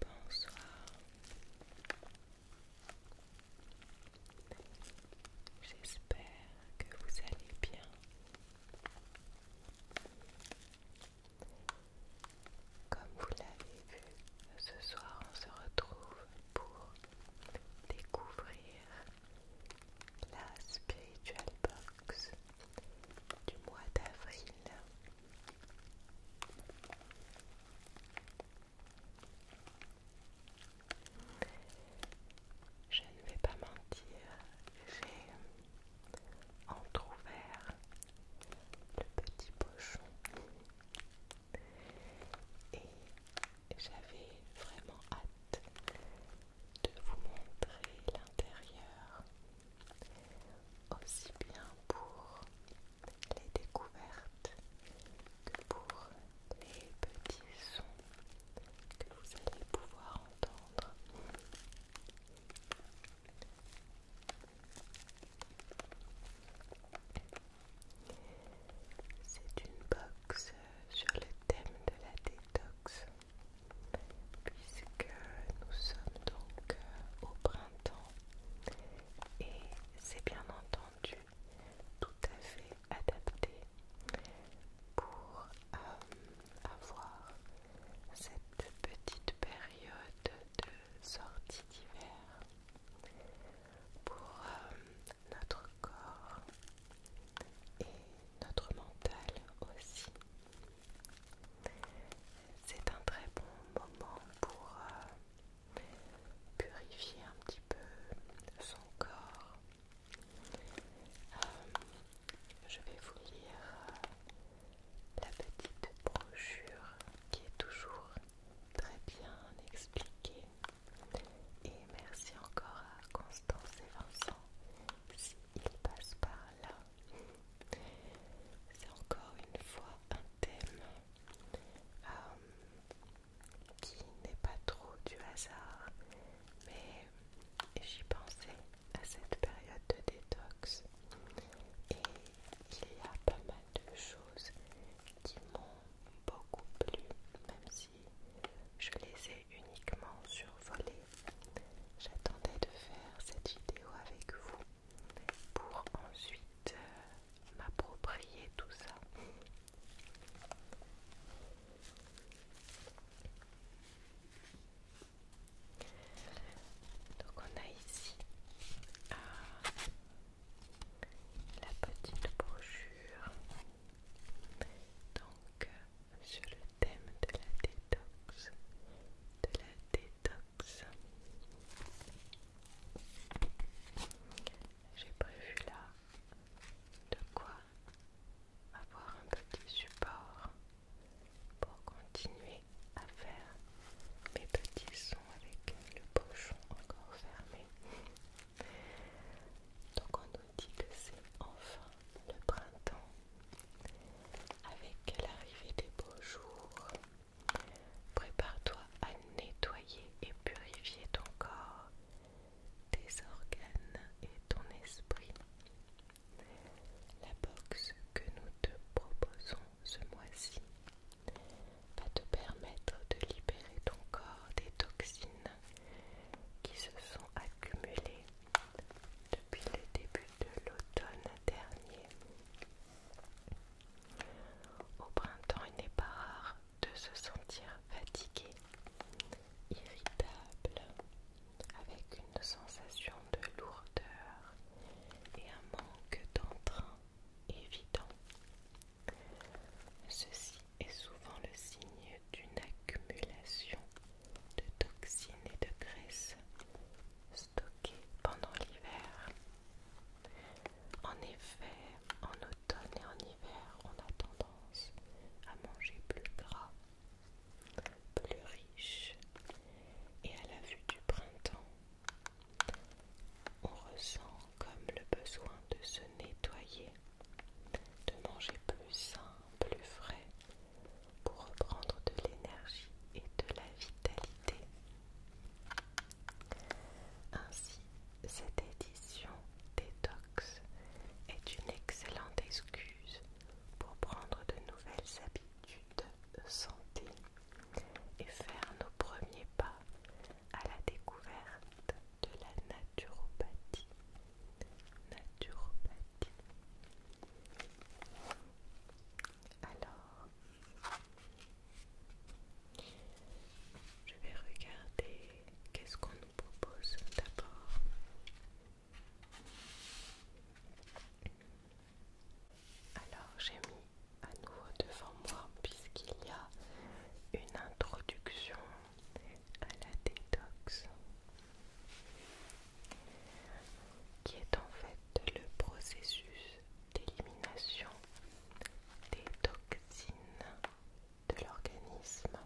Bonsoir, j'espère que vous allez bien. Comme vous l'avez vu, ce soir on se retrouve pour découvrir la Spiritual Box du mois d'avril. Je ne vais pas mentir, j'ai entrouvert le petit pochon et j'avais vraiment hâte de vous montrer l'intérieur aussi bien pour les découvertes que pour les petits sons que vous allez pouvoir entendre. C'est une box sur le thème de la détox puisque nous sommes donc euh, au printemps et c'est bien entendu tout à fait adapté pour euh, avoir cette petite période de sortie d'hiver pour euh, notre corps et notre mental aussi c'est un très bon moment pour euh, purifier un petit peu son corps. Euh, je vais vous lire euh, la petite brochure qui est toujours très bien expliquée. Et merci encore à Constance et Vincent s'ils passent par là. C'est encore une fois un thème euh, qui n'est pas trop du hasard, mais j'y pensais à cette période de détox et il y a pas mal de choses qui m'ont beaucoup plu, même si je les ai uniquement survolées J'attendais de faire cette vidéo avec vous pour ensuite euh, m'approprier tout ça. Donc on a ici euh, la petite brochure. Donc euh, sur le thème de la détox, de la détox. J'ai prévu là de quoi avoir un petit support pour continuer à faire mes petits sons avec le pochon encore fermé. Donc on nous dit que c'est enfin le printemps avec l'arrivée des beaux jours. Prépare-toi à nettoyer et purifier ton corps, tes organes et ton esprit. La box que nous te proposons ce mois-ci va te permettre de libérer ton corps des toxines qui se sont accumulées depuis le début de l'automne dernier. Au printemps, il n'est pas rare de se sentir fatigué, irritable, avec une sensation de lourdeur et un manque d'entrain évident. Ceci est souvent le signe d'une accumulation de toxines et de graisses stockées pendant l'hiver. En effet, en automne et en hiver, on a tendance à manger plus gras, plus riche, et à la vue du printemps, on ressent comme le besoin de se nettoyer, de manger plus sain, plus frais, pour reprendre de l'énergie et de la vitalité. Ainsi, cette édition détox est une excellente excuse pour prendre de nouvelles habitudes de santé et faire nos premiers pas à la découverte de la naturopathie. Naturopathie. Alors, je vais regarder qu'est-ce qu'on nous propose d'abord. Alors, j'ai mis à nouveau devant moi puisqu'il y a une introduction à la détox qui est en fait le processus d'élimination des toxines de l'organisme.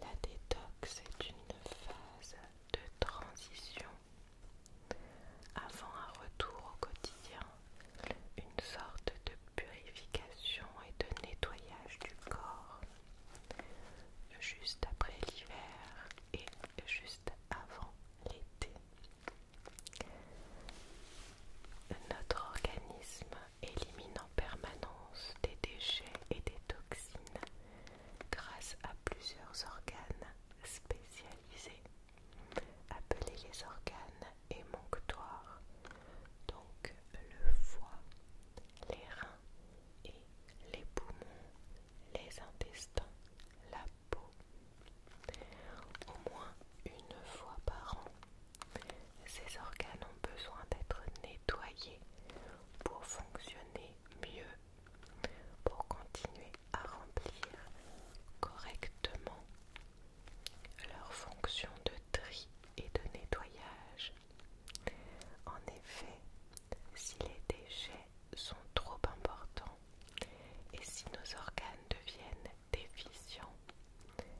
La détox est une phase de transition avant un retour au quotidien, une sorte de purification et de nettoyage du corps. Juste après l'hiver et juste avant l'été. Notre organisme élimine en permanence des déchets et des toxines grâce à plusieurs organes spécialisés, appelés les organes émonctoires, donc le foie, les reins, et les poumons, les intestins, la peau. Au moins une fois par an, ces organes ont besoin d'être nettoyés pour fonctionner mieux, pour continuer à remplir correctement leur fonction de tri et de nettoyage. En effet, si les déchets sont trop importants et si nos organes deviennent déficients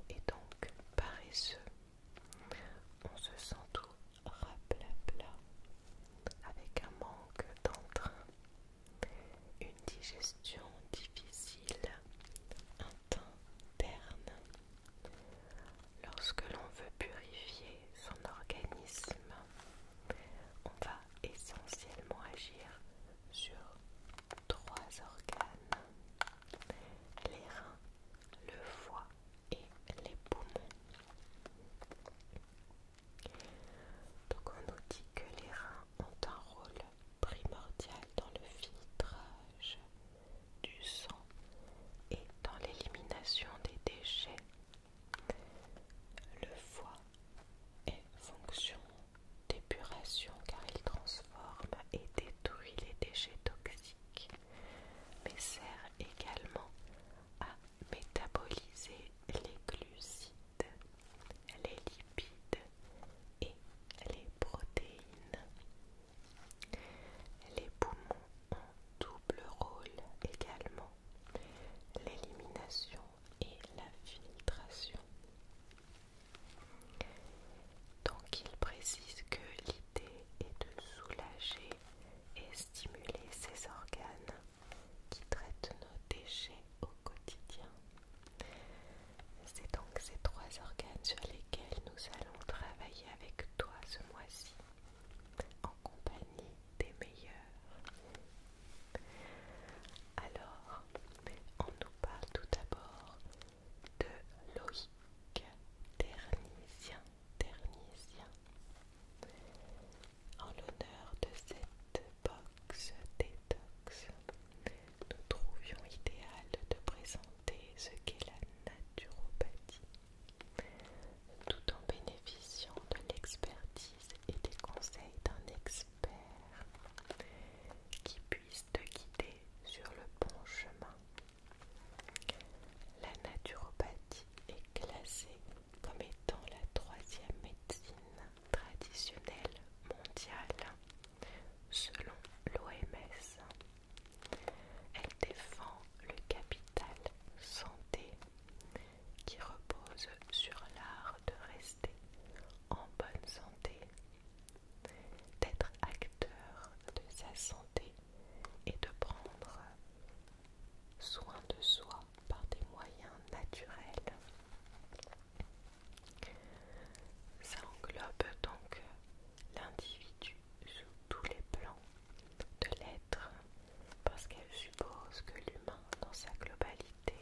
et donc paresseux, on se sent tout raplapla avec un manque d'entrain, une digestion difficile, un teint terne. Lorsque l'on veut purifier son organisme, on va essentiellement agir sur trois organes, les reins, le foie et les poumons. Donc on nous dit que les reins ont un rôle primordial dans le filtrage du sang et dans l'élimination des déchets le foie est fonction d'épuration car il transforme et détruit les déchets toxiques, mais sert également à métaboliser les glucides, les lipides et les protéines. Les poumons en double rôle également, l'élimination et la filtration. Donc il précise que l'idée est de soulager et stimuler ces organes qui traitent nos déchets au quotidien. C'est donc ces trois organes sur lesquels nous allons travailler avec toi ce mois-ci, en compagnie des meilleurs. Alors, on nous parle tout d'abord de Loïc Ternisien, en l'honneur de cette box détox. Nous trouvions idéal de présenter ce qu'est la naturopathie tout en bénéficiant de l'expertise et des conseils d'un expert qui puisse te guider sur le bon chemin. La naturopathie est classée comme étant la troisième médecine traditionnelle mondiale selon l'OMS. Elle défend le capital santé qui repose sur l'art de rester en bonne santé, d'être acteur de sa santé et de prendre soin de soi par des moyens naturels. Ça englobe donc l'individu sous tous les plans de l'être, parce qu'elle suppose que l'humain, dans sa globalité,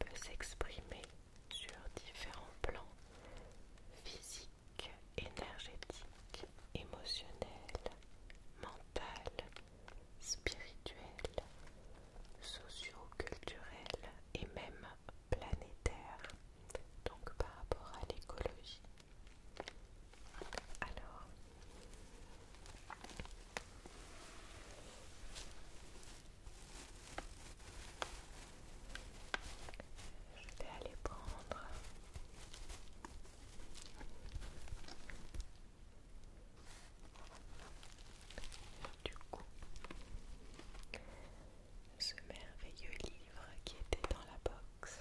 peut s'exprimer sur différents plans physiques, énergétiques, émotionnels, mental, spirituels, socio culturels et même planétaires, Donc par rapport à l'écologie, alors, je vais aller prendre euh, du coup ce merveilleux livre qui était dans la box.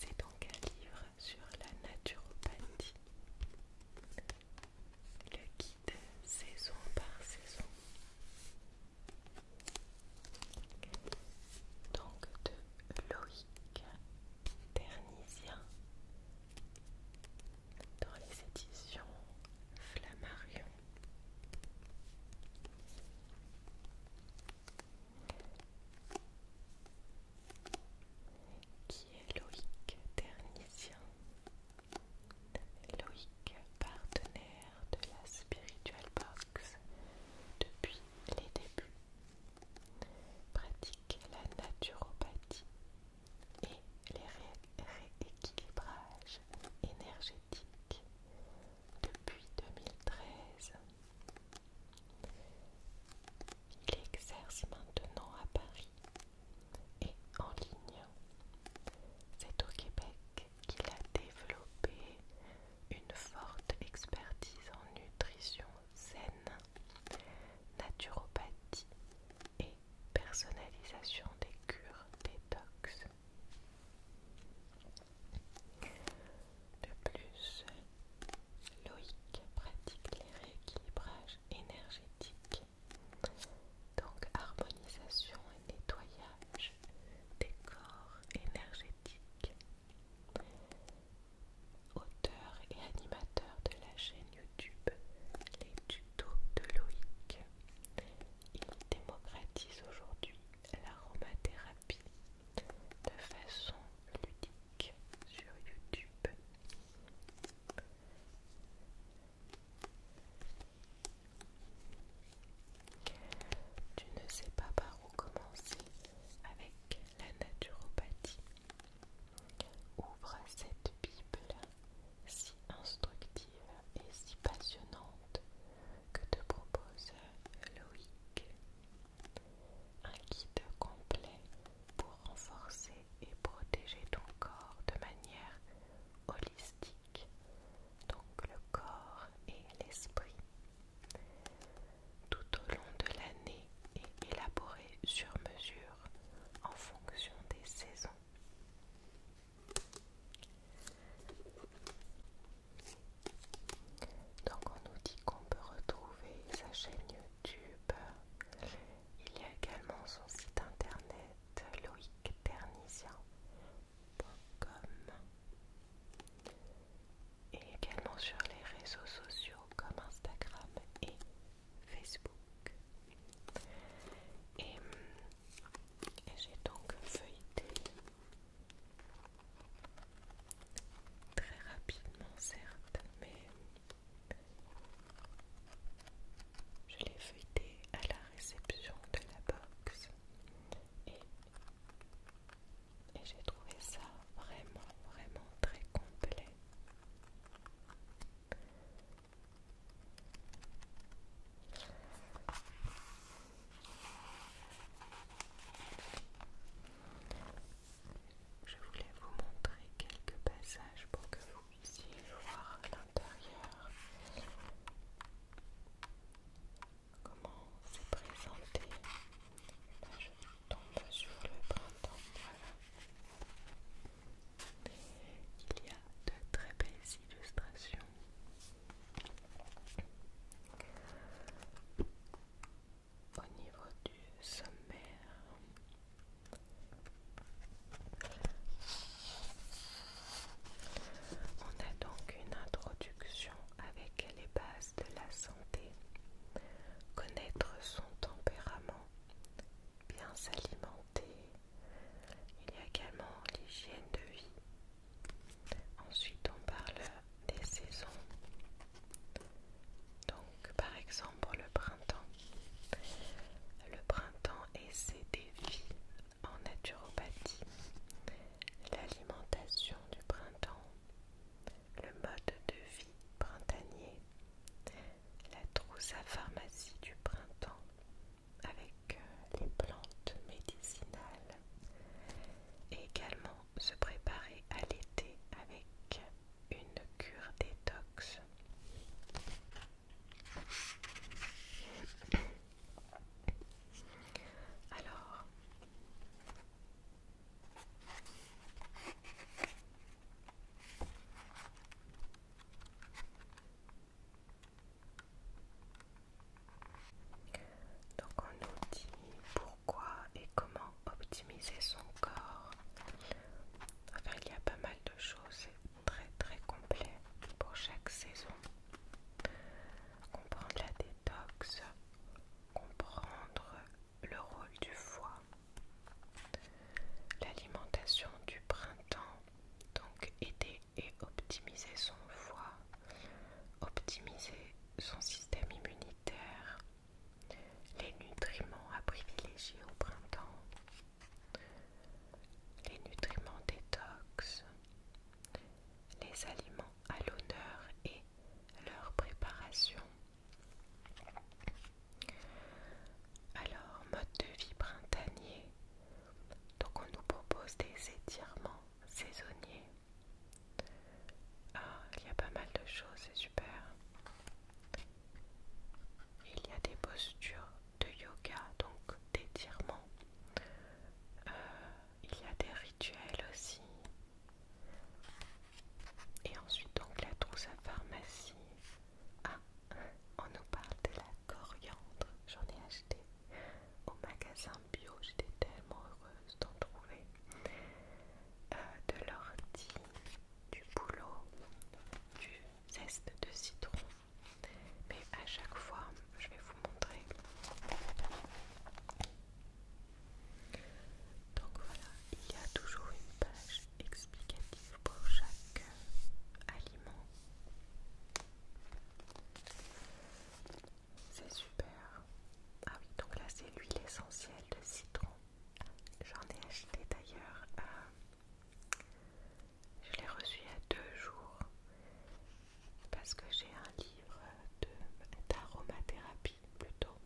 C'est donc un livre sur la naturopathie. Le guide saison par saison. Donc de Loïc Ternisien dans les éditions Flammarion qui est Loïc Ternissien, Loïc partenaire de la Spiritual Box depuis les débuts, pratique la naturopathie et les rééquilibrages énergétiques depuis 2013. Il exerce maintenant à Paris et en ligne. C'est au Québec qu'il a développé une forte expertise en nutrition saine, naturopathie et personnalisation des cures détox. De plus, Loïc pratique les rééquilibrages énergétiques, donc harmonisation et nettoyage des corps énergétiques. Auteur et animateur de la chaîne YouTube Les Tutos de Loïc, il démocratise aujourd'hui l'aromathérapie de façon ludique sur YouTube. Tu ne sais pas par où commencer avec la naturopathie. Ouvre cette Bible si instructive et si passionnante que te propose Loïc un guide complet pour renforcer et protéger ton corps de manière holistique, donc le corps et l'esprit. Tout au long de l'année et élaboré sur mesure en fonction des saisons. Donc on nous dit qu'on peut retrouver sa chaîne YouTube. Il y a également son site internet loïcternisien.com et également sur les réseaux sociaux comme Instagram et Facebook. et j'ai donc feuilleté Très rapidement, certes, mais je l'ai feuilleté à la réception de la box et, et j'ai trouvé ça vraiment, vraiment très complet. Je voulais vous montrer quelques passages pour que vous puissiez voir à l'intérieur comment c'est présenté. je tombe sur le printemps. Il y a de très belles illustrations au niveau du sommaire. On a donc une introduction avec les bases de la santé, connaître son tempérament, bien s'alimenter. Il y a également l'hygiène de vie, Ensuite, on parle des saisons. Donc, par exemple, le printemps, le printemps et ses défis en naturopathie, l'alimentation du printemps, le mode de vie printanier, la trousse à pharmacie du printemps avec euh, les plantes médicinales, et également se préparer à l'été avec une cure détox. Alors, donc on nous dit pourquoi et comment optimiser son corps. Enfin, il y a pas mal de choses, très très complet pour chaque saison. Comprendre la détox, comprendre le rôle du foie, l'alimentation du printemps, donc aider et optimiser son foie optimiser son système immunitaire, les nutriments à privilégier au printemps, les nutriments détox, les aliments à l'honneur et leur préparation. Alors, mode de vie printanier. Donc on nous propose des étirements saisonnier. Ah, il y a pas mal de choses, c'est super. Il y a des postures de yoga, donc d'étirement. Euh, il y a des rituels aussi. Et ensuite, donc, la trousse à pharmacie. Ah, on nous parle de la coriandre. J'en ai acheté au magasin bio. J'étais tellement heureuse d'en trouver, euh, de l'ortie, du boulot, du zeste de citron. Mais à chaque fois, je vais vous montrer. Donc voilà, il y a toujours une page explicative pour chaque euh, aliment. C'est super. Ah oui, donc là c'est l'huile essentielle de citron. J'en ai acheté d'ailleurs. Euh, je l'ai reçu il y a deux jours parce que j'ai un livre d'aromathérapie plutôt.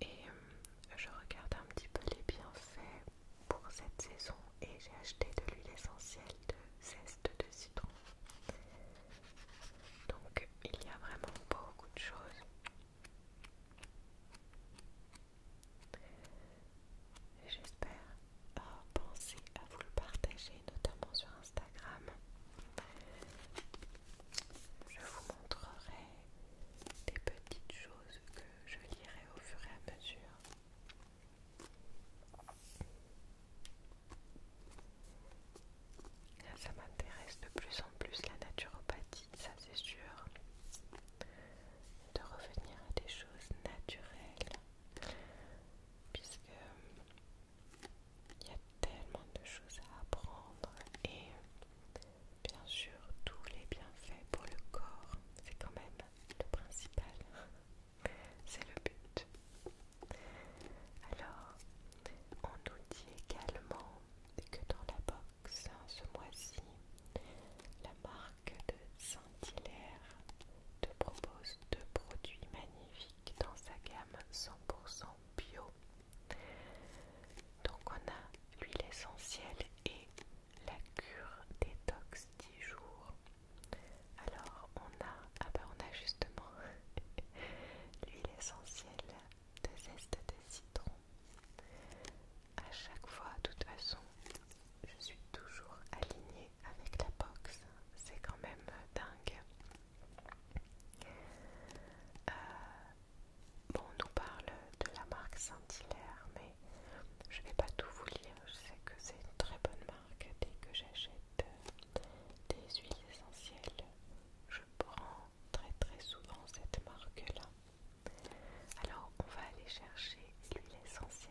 Et euh, je regarde un petit peu les bienfaits pour cette saison et j'ai acheté de l'huile essentielle de zeste de citron. Donc il y a vraiment beaucoup de choses. J'espère penser à vous le partager, notamment sur Instagram. Je vous montrerai des petites choses que je lirai au fur et à mesure. Ça m'intéresse de plus en plus la naturopathie, ça c'est sûr. De revenir à des choses naturelles. Puisque il y a tellement de choses à apprendre et bien sûr tous les bienfaits pour le corps, c'est quand même le principal. C'est le but. Alors, on nous dit également que dans la box, ce mois-ci, la marque de Saint-Hilaire te propose deux produits magnifiques dans sa gamme 100% bio. Donc on a l'huile essentielle et la cure détox 10 jours. Alors on a, ah ben, on a justement l'huile essentielle des zestes des citrons À chaque fois, de toute façon, je suis toujours alignée avec la box. C'est quand même dingue. Euh, bon, on nous parle de la marque Saint-Hilaire, mais je vais pas tout vous lire. Je sais que c'est une très bonne marque. Dès que j'achète des huiles essentielles, prend très très souvent cette marque là. Alors on va aller chercher l'huile essentielle.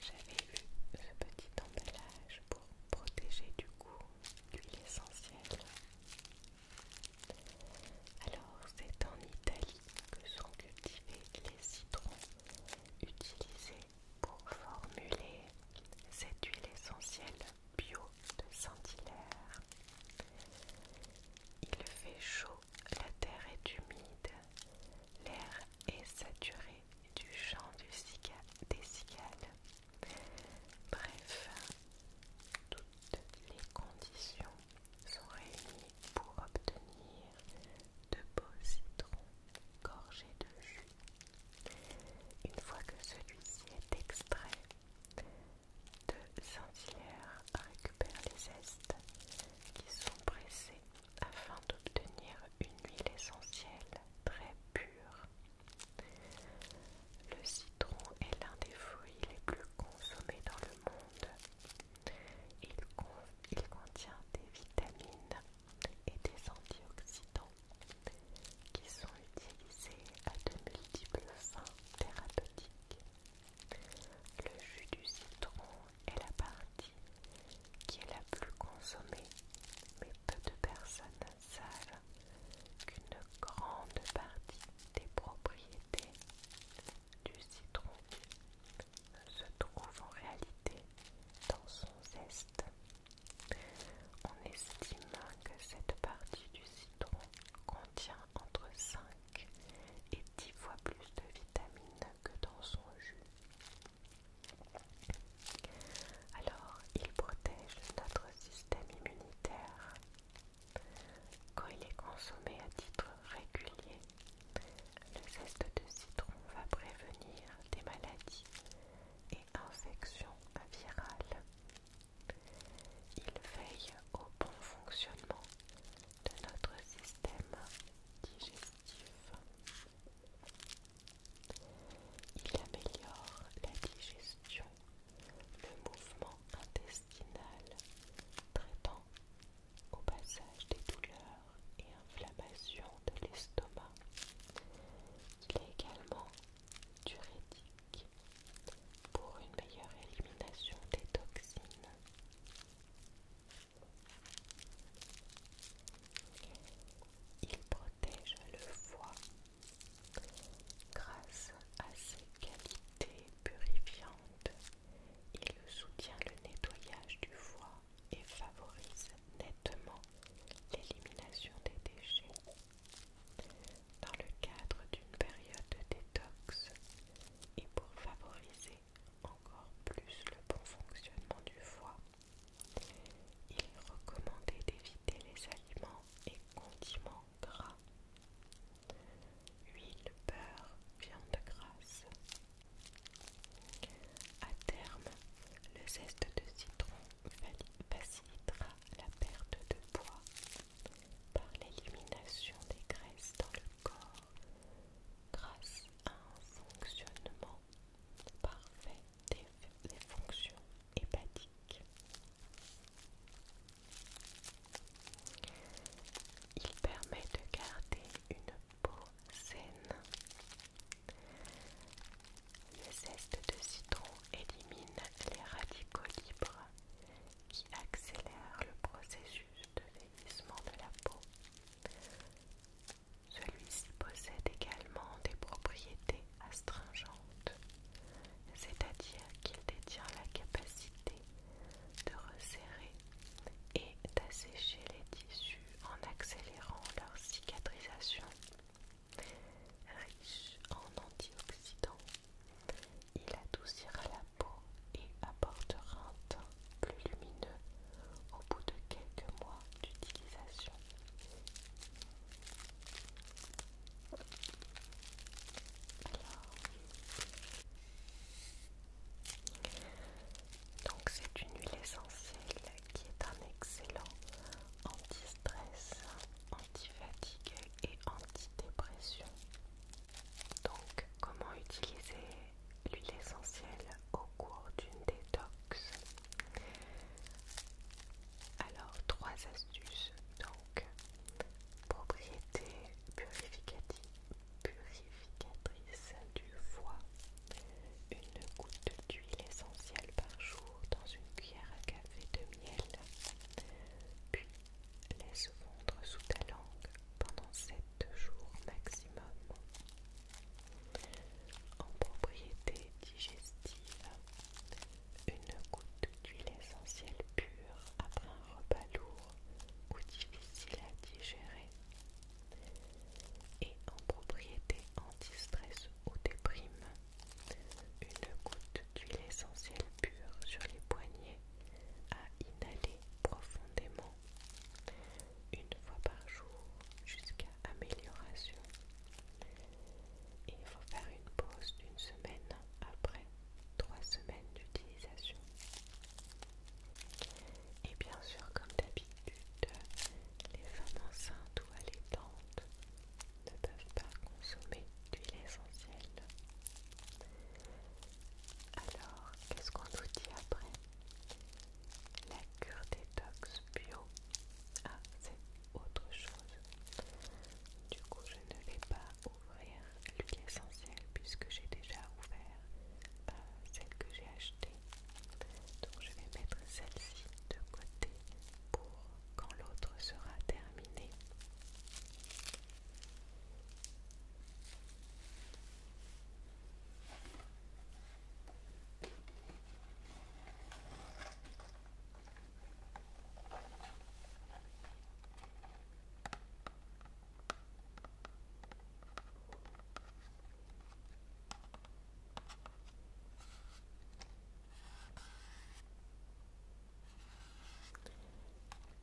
J'avais eu ce petit emballage pour protéger du goût l'huile essentielle. Alors c'est en Italie que sont cultivés les citrons utilisés pour formuler cette huile essentielle bio de saint Il fait chaud, la terre est humide, l'air est saturé du chant du des cigales. Bref, toutes les conditions sont réunies pour obtenir de beaux citrons gorgés de jus. Une fois que celui-ci est extrait, de saint récupèrent les zestes qui sont pressés afin d'obtenir une huile essentielle très pure. Le citron est l'un des fruits les plus consommés dans le monde. Il, contient des vitamines et des antioxydants qui sont utilisés à de multiples fins thérapeutiques. Le jus du citron est la partie qui est la plus consommée, mais peu de personnes savent qu'une grande partie des propriétés du citron se trouve en réalité dans son zeste. On estime que cette partie du citron contient entre 5 et 10 fois plus de vitamines que dans son jus. Alors, il protège notre système immunitaire. Quand il est consommé à titre régulier, le zeste de citron va prévenir des maladies et infections virales. Il veille au bon fonctionnement de notre système digestif. Il améliore la digestion, le mouvement intestinal, traitant au passage des douleurs et inflammations de l'estomac. Il est également diurétique pour une meilleure élimination des toxines. Il protège le foie grâce à ses qualités purifiantes. Il soutient le nettoyage du foie et favorise nettement l'élimination des déchets. Dans le cadre d'une période de détox et pour favoriser encore plus le bon fonctionnement du foie, il est recommandé d'éviter les aliments et condiments gras, huile, beurre, viande grasse. À terme, le zeste de citron facilitera la perte de poids par l'élimination des graisses dans le corps grâce à un fonctionnement parfait fonctions hépatiques. Il permet de garder une peau saine. Le zeste de citron élimine les radicaux libres qui accélèrent le processus de vieillissement de la peau. Celui-ci possède également des propriétés astringentes, c'est-à-dire qu'il détient la capacité de resserrer et d'assécher les tissus en accélérant leur cicatrisation. Riche en antioxydants, il adoucira la peau et apportera un teint plus lumineux au bout de quelques mois d'utilisation. Donc c'est une huile essentielle qui est un excellent anti-stress, anti-fatigue et anti-dépression. Donc comment utiliser l'huile essentielle au cours d'une détox. Alors, trois astuces donc propriété purificatrice du foie, une goutte d'huile essentielle par jour dans une cuillère à café de miel, puis laisse fondre sous ta langue pendant 7 jours maximum. En propriété digestive, une goutte d'huile essentielle pure après un repas lourd ou difficile à digérer. Et en propriété anti-stress ou déprime, une goutte d'huile essentielle pure sur les poignets à inhaler profondément une fois par jour jusqu'à amélioration. Et il faut faire une pause d'une semaine après trois semaines d'utilisation. Et bien sûr, comme d'habitude, les femmes enceintes ou allaitantes ne peuvent pas consommer d'huile essentielle. Alors, qu'est-ce qu'on nous dit après la cure détox bio. Ah, c'est autre chose. Du coup, je ne vais pas ouvrir l'huile essentielle puisque j'ai déjà ouvert bah, celle que j'ai achetée. Donc, je vais mettre celle-ci de côté pour quand l'autre sera terminée.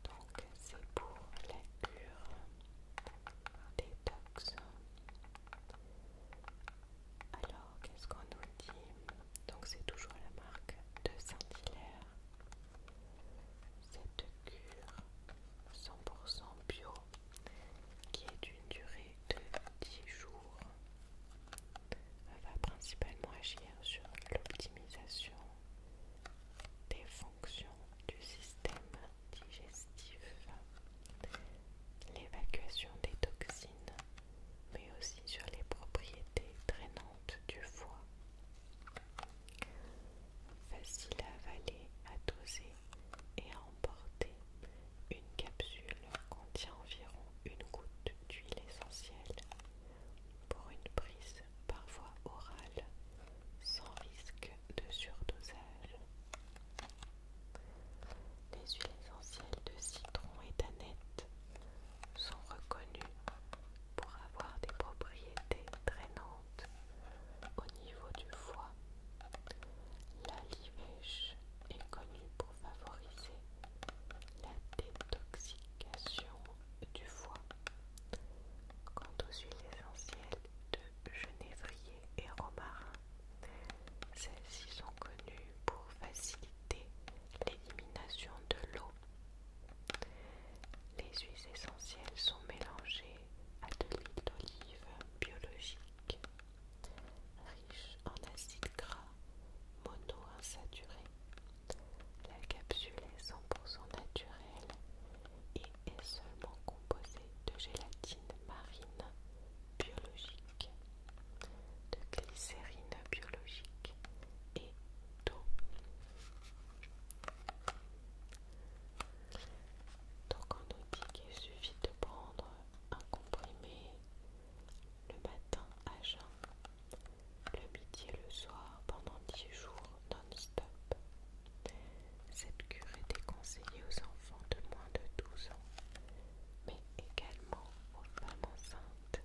Donc c'est pour la cure détox. Alors, qu'est-ce qu'on nous dit Donc, c'est toujours la marque de Saint-Hilaire. Cette cure 100% bio qui est d'une durée de 10 jours va principalement agir sur l'optimisation des fonctions du système digestif, l'évacuation des toxines, mais aussi sur les propriétés drainantes du foie. Facile à avaler, à doser et à emporter, une capsule contient environ une goutte d'huile essentielle pour une prise parfois orale sans risque de surdosage. Les huiles essentielles de citron et d'aneth sont reconnues pour avoir des propriétés drainantes au niveau du foie. La livèche est connue pour favoriser la détoxication du foie. Quant aux huiles essentielles de genévrier et romarin, celles-ci sont connues pour faciliter l'élimination de l'eau. Les huiles essentielles sont mélangées à de l'huile d'olive biologique, riche en acides gras monoinsaturés. La capsule est 100% naturelle et est seulement composé de gélatine marine biologique, de glycérine biologique et d'eau. Donc on nous dit qu'il suffit de prendre un comprimé le matin à jeun, le midi et le soir pendant 10 jours non-stop. Cette cure est conseillée aux enfants de moins de 12 ans, mais également aux femmes enceintes.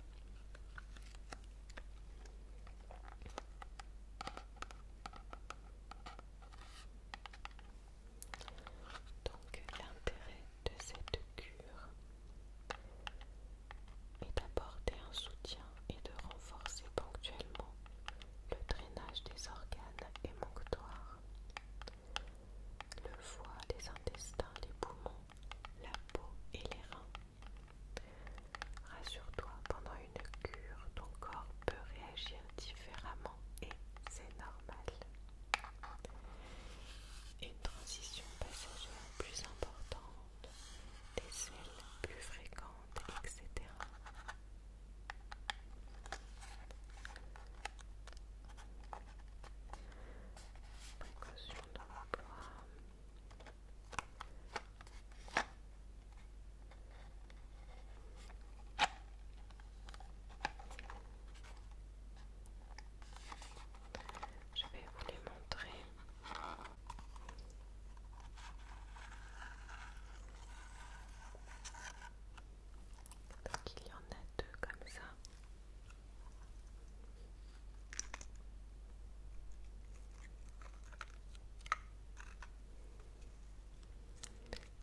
Donc l'intérêt de cette cure est d'apporter un soutien et de renforcer ponctuellement le drainage des organes émonctoires le foie, les intestins, les poumons, la peau et les reins. Rassure-toi, pendant une cure, ton corps peut réagir différemment et c'est normal. Une transition passagère plus importante, des selles plus fréquentes, etc. Précaution de l'emploi. Je vais vous les montrer. Donc il y en a deux comme ça.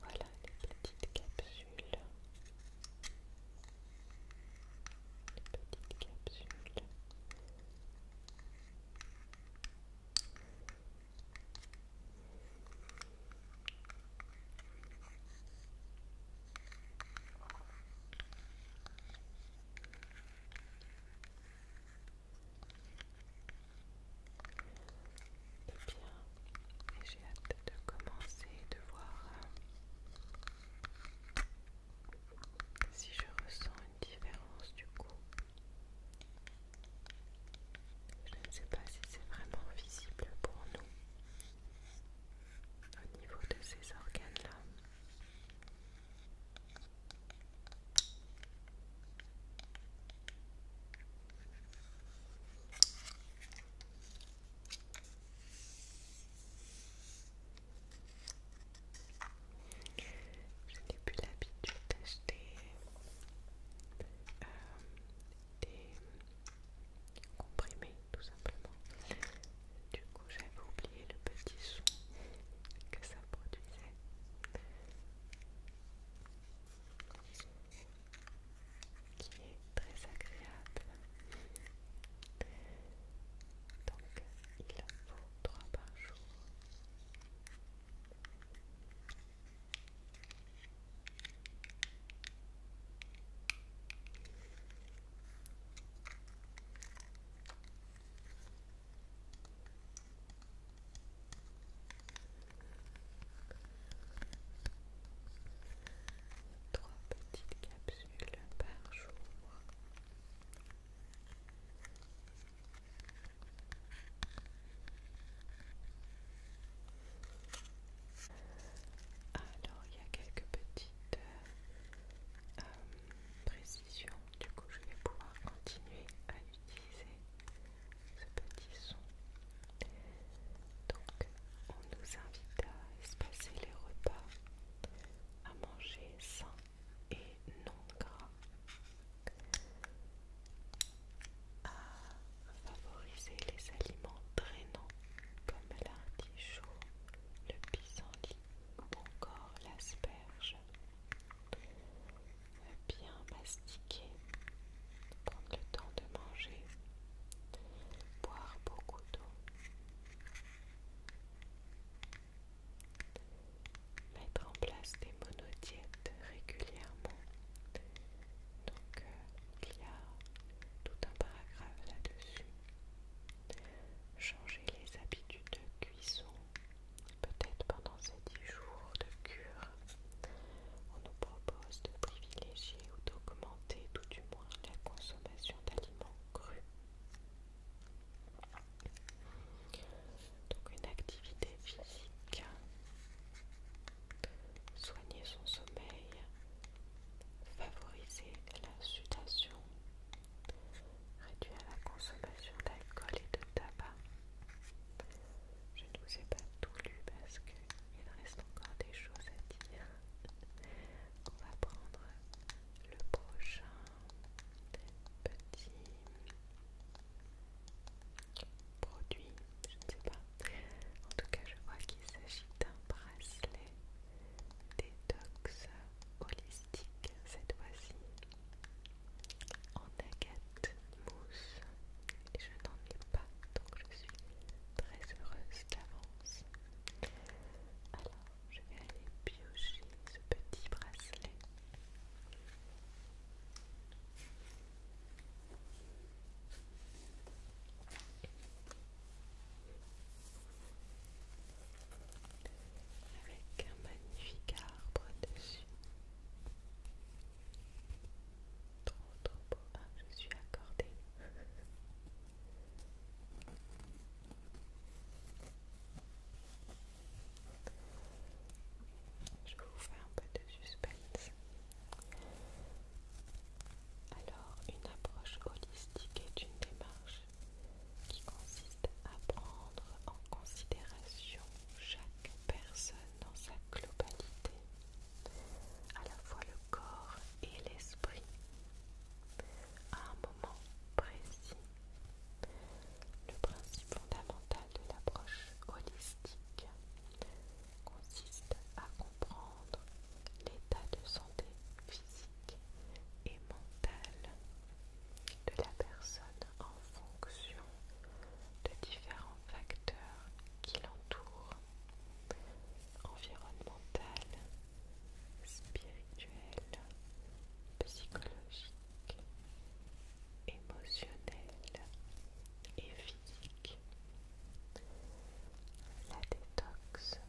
Voilà les petites capsules. Les petites capsules. Eh bien, j'ai hâte de commencer de voir si je ressens une différence du coup. Je ne sais pas si c'est vraiment visible pour nous au niveau de ces organes-là. Je n'ai plus l'habitude d'acheter euh, des comprimés tout simplement. Du coup j'avais oublié le petit son que ça produisait. Qui est très agréable. Donc il en faut trois par jour. Trois petites capsules par jour. Alors il y a quelques petites euh, précisions, du coup je vais pouvoir continuer à utiliser ce petit son. Donc on nous invite à espacer les repas, à manger sain et non gras à favoriser les aliments drainants comme l'artichaut, le pissenlit ou encore l'asperge. Bien mastiquer, prendre le temps de manger, boire beaucoup d'eau, mettre en place des monodiètes régulièrement donc euh, il y a tout un paragraphe là-dessus. Changer les habitudes de cuisson, peut-être pendant ces 10 jours de cure. On nous propose de privilégier ou d'augmenter tout du moins la consommation d'aliments crus. Donc une activité physique soigner son sommeil, favoriser la sudation, réduire la consommation d'alcool et de tabac. Je ne vous ai pas tout lu parce qu'il reste encore des choses à dire. On va prendre le prochain petit produit, je ne sais pas. En tout cas, je vois qu'il s'agit d'un bracelet détox holistique cette fois-ci en agate mousse. Et je n'en ai pas, donc je suis très heureuse d'avance. Alors, je vais aller piocher ce petit bracelet avec un magnifique arbre dessus. Trop beau, ah, je suis accordée. Je vais vous faire un peu de suspense. Alors, une approche holistique est une démarche qui consiste à prendre en considération chaque personne dans sa globalité, à la fois le corps et l'esprit, à un moment précis. Le principe fondamental de l'approche holistique consiste à comprendre l'état de santé physique et mentale de la personne en fonction de différents facteurs qui l'entourent, environnemental, spirituel, psychologique, émotionnel et la détox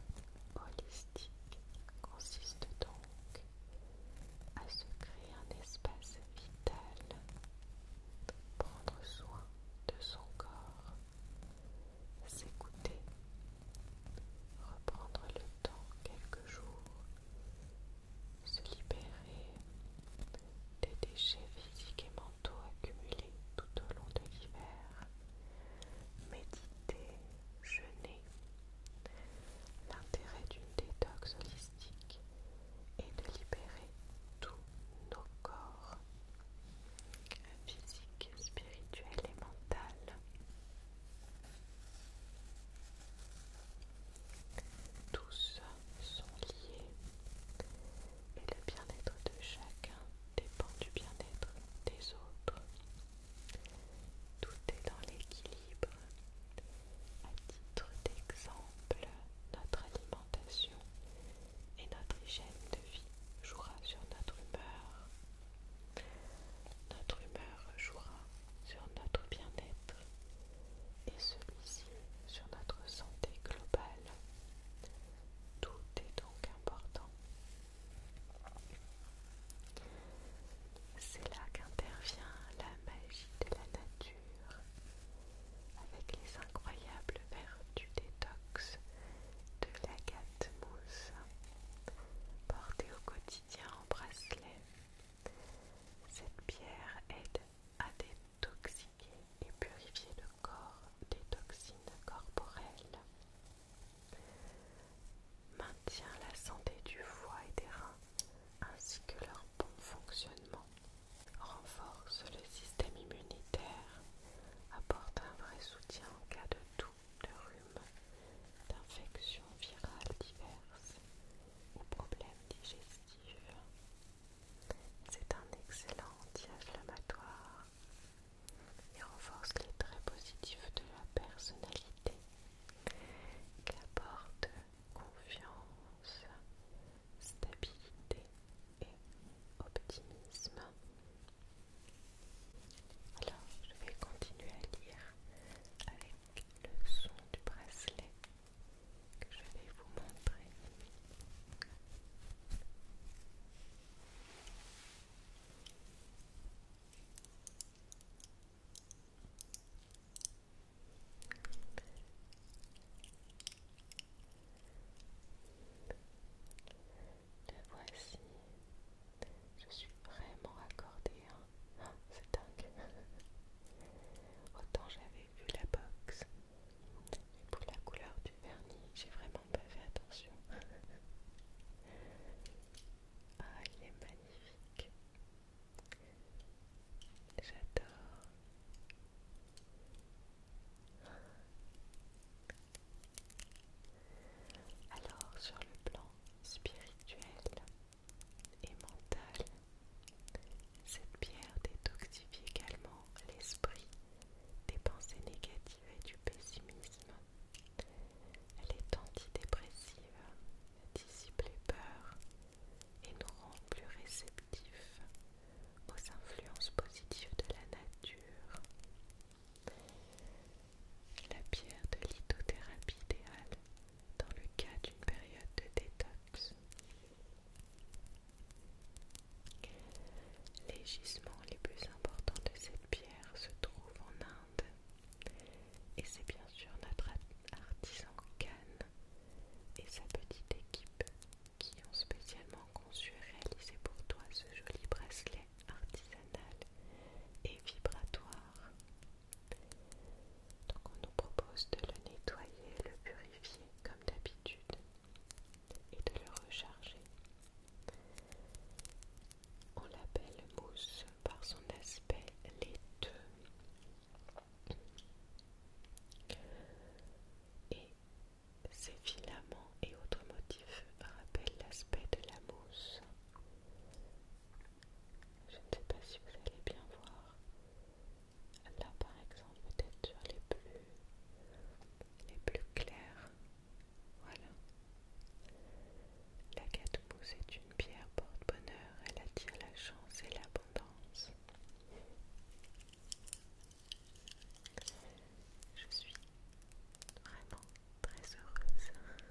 holistique consiste donc à se créer un espace vital, prendre soin de son corps, s'écouter, reprendre le temps quelques jours, se libérer des déchets physiques et mentaux accumulés tout au long de l'hiver, méditer, jeûner. L'intérêt d'une détox holistique est de libérer tous nos corps, physiques, spirituels et mental. Tous sont liés et le bien-être de chacun dépend du bien-être des autres. Tout est dans l'équilibre. À titre d'exemple, notre alimentation et notre hygiène de vie jouera sur notre humeur. Notre humeur jouera sur notre bien-être et celui-ci sur notre santé globale. Tout est donc important. C'est là qu'intervient la magie de la nature avec les incroyables vertus détox de l'agate mousse portée au quotidien en bracelet. Cette pierre aide à détoxiquer et purifier le corps des toxines corporelles, maintient la santé du foie et des reins ainsi que leur bon fonctionnement, renforce le système immunitaire, apporte un vrai soutien en cas de toux, de rhume, d'infections virales diverses ou problèmes digestifs. C'est un excellent anti-inflammatoire et renforce les traits positifs de la personnalité qui apporte confiance, stabilité et optimisme. Alors, je vais continuer à lire avec le son du bracelet que je vais vous montrer. Le voici. Je suis vraiment accordée. Hein. Ah, c'est dingue. Autant j'avais vu la box, et pour la couleur du vernis, j'ai vraiment pas fait attention. ah, il est magnifique. J'adore. Alors, sur le plan spirituel et mental, cette pierre détoxifie également l'esprit des pensées négatives et du pessimisme. Elle est antidépressive, dissipe les peurs et nous rend plus réceptifs aux influences positives de la nature. La pierre de lithothérapie idéale dans le cas d'une période de détox les gisements les plus importants de cette pierre se trouvent en Inde et c'est bien sûr notre artisan Khan et sa petite équipe qui ont spécialement conçu et réalisé pour toi ce joli bracelet artisanal et vibratoire. Donc on nous propose de le nettoyer le purifier comme d'habitude et de le recharger. On l'appelle mousse par son aspect laiteux. Et ses filaments et autres motifs rappellent l'aspect de la mousse. Je ne sais pas si vous allez bien voir, là par exemple peut-être sur les plus les plus clairs voilà la mousse est une pierre porte-bonheur elle attire la chance et l'abondance je suis vraiment très heureuse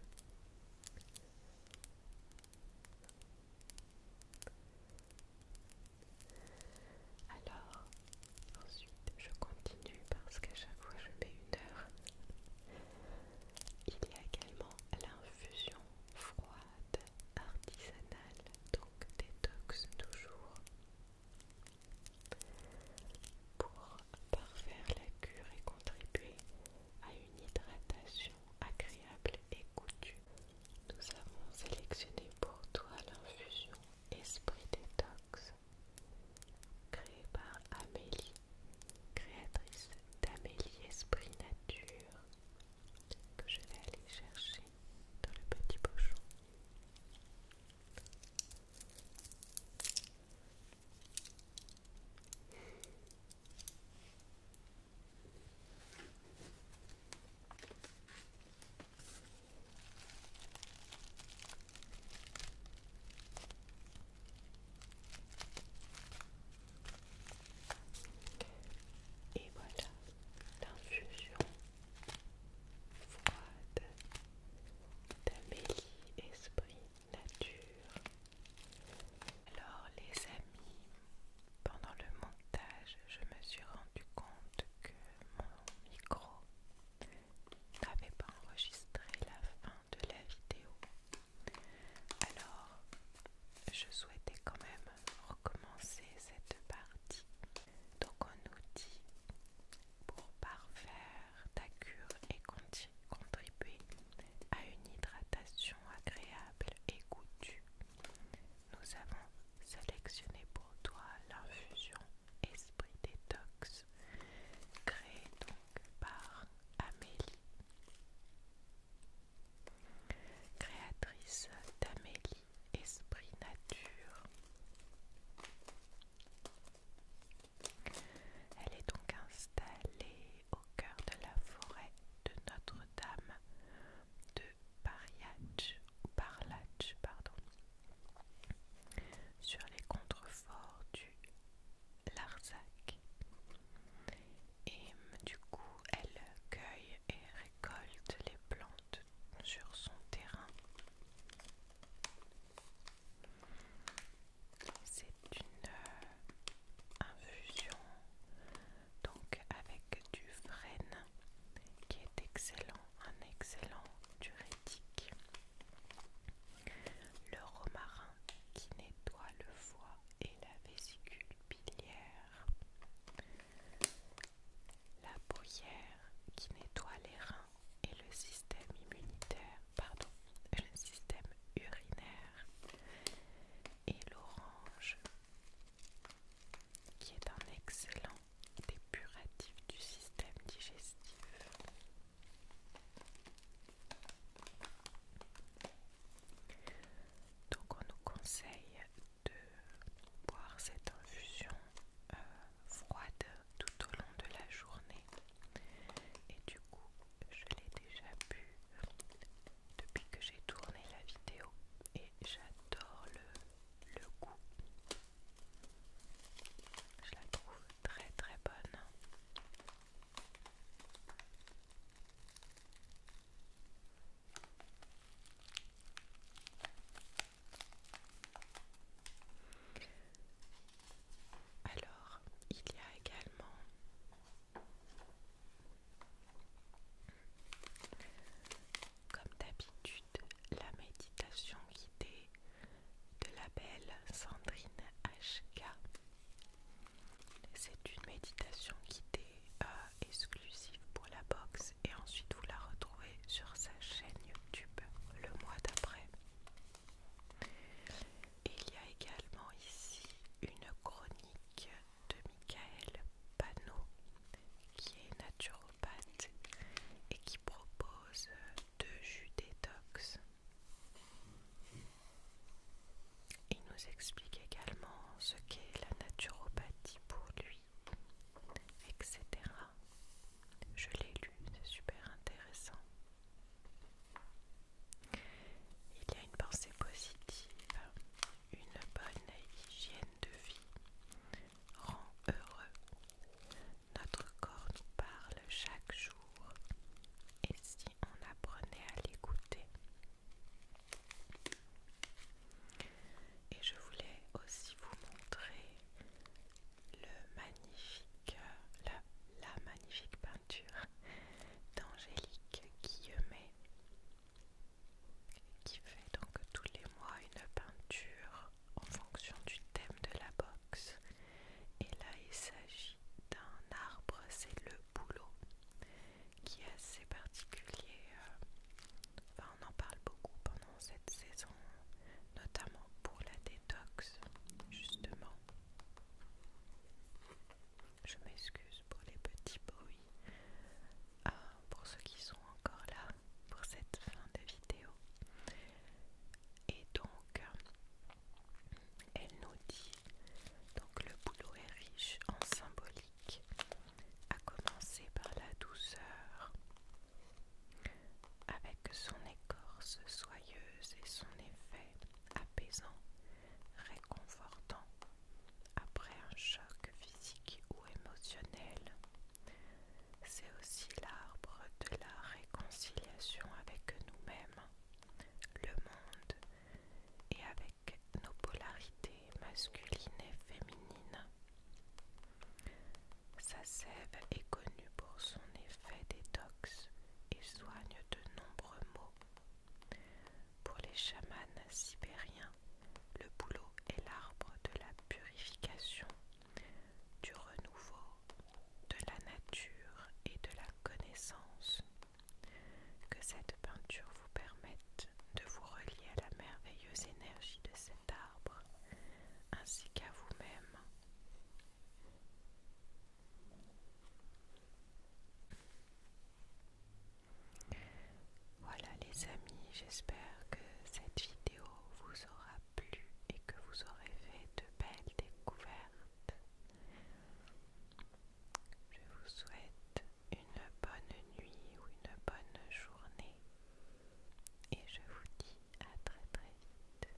alors, ensuite, je continue parce qu'à chaque fois, je mets une heure. Il y a également l'infusion froide artisanale, donc détox toujours. Pour parfaire la cure et contribuer à une hydratation agréable et coutue nous avons sélectionné pour toi l'infusion Esprit Détox, créée par Amélie, créatrice d'Amélie Esprit Nature, que je vais aller chercher dans le petit pochon. Et voilà l'infusion froide d'Amélie Esprit Nature. Alors les amis, pendant le montage, je me suis rendu compte que mon micro n'avait pas enregistré la fin de la vidéo. Alors, je souhaitais quand même recommencer cette partie. Donc on nous dit pour parfaire ta cure et contribuer à une hydratation agréable et goûtue, nous avons sélectionné pour toi l'infusion Esprit Détox, créée donc par Amélie. Créatrice d'Amélie Esprit Nature. Elle est donc installée au cœur de la forêt de Notre-Dame de Pariach ou parlatch pardon, sur les contreforts du Larzac. Et du coup, elle cueille et récolte les plantes sur son terrain. C'est une euh, infusion donc avec du frêne qui est excellent un excellent diurétique. Le romarin qui nettoie le foie et la vésicule biliaire. La bouillère qui nettoie les reins et le système immunitaire, pardon, le système urinaire. Et l'orange qui est un excellent dépuratif du système digestif. Donc on nous conseille de boire cette infusion euh, froide tout au long de la journée. Et du coup, je l'ai déjà bu depuis que j'ai tourné la vidéo et j'adore le le goût. Je la trouve très très bonne. Alors, il y a également comme d'habitude la méditation guidée de la belle Sandrine HK. C'est une méditation guidée euh, exclusive pour la box et ensuite vous la retrouvez sur sa chaîne YouTube le mois d'après. Il y a également ici une chronique de Michael Panot qui est naturel et qui propose deux jus détox. Il nous explique également ce qu'est la naturopathie pour lui, etc. Je l'ai lu, c'est super intéressant. Il y a une pensée positive, une bonne hygiène de vie, rend heureux. Notre corps nous parle chaque jour et si on apprenait à l'écouter. Et je voulais aussi vous montrer le magnifique, la, magnifique peinture d'Angélique Guillemet qui fait donc tous les mois une peinture en fonction du thème de la box. Et là, il s'agit d'un arbre, c'est le bouleau, qui est assez particulier. Euh, enfin, on en parle beaucoup pendant cette saison, notamment pour la détox, justement. Je m'excuse pour les petits bruits. Ah, pour ceux qui sont encore là pour cette fin de vidéo. Et donc, elle nous dit donc le boulot est riche en symbolique, à commencer par la douceur, avec son écorce soyeuse et son effet apaisant, réconfortant après un choc physique ou émotionnel c'est aussi l'arbre de la réconciliation avec nous-mêmes, le monde et avec nos polarités masculines et féminines. Sa sève est connue pour son effet détox et soigne de nombreux maux. Pour les chamans sibériens, le boulot est l'arbre de la purification, du renouveau, de la nature et de la connaissance. Que cette peinture vous permette de vous relier à la merveilleuse énergie de cet arbre, ainsi qu'à vous-même. Voilà les amis, j'espère que cette vidéo vous aura plu et que vous aurez fait de belles découvertes. Je vous souhaite une bonne nuit ou une bonne journée et je vous dis à très très vite.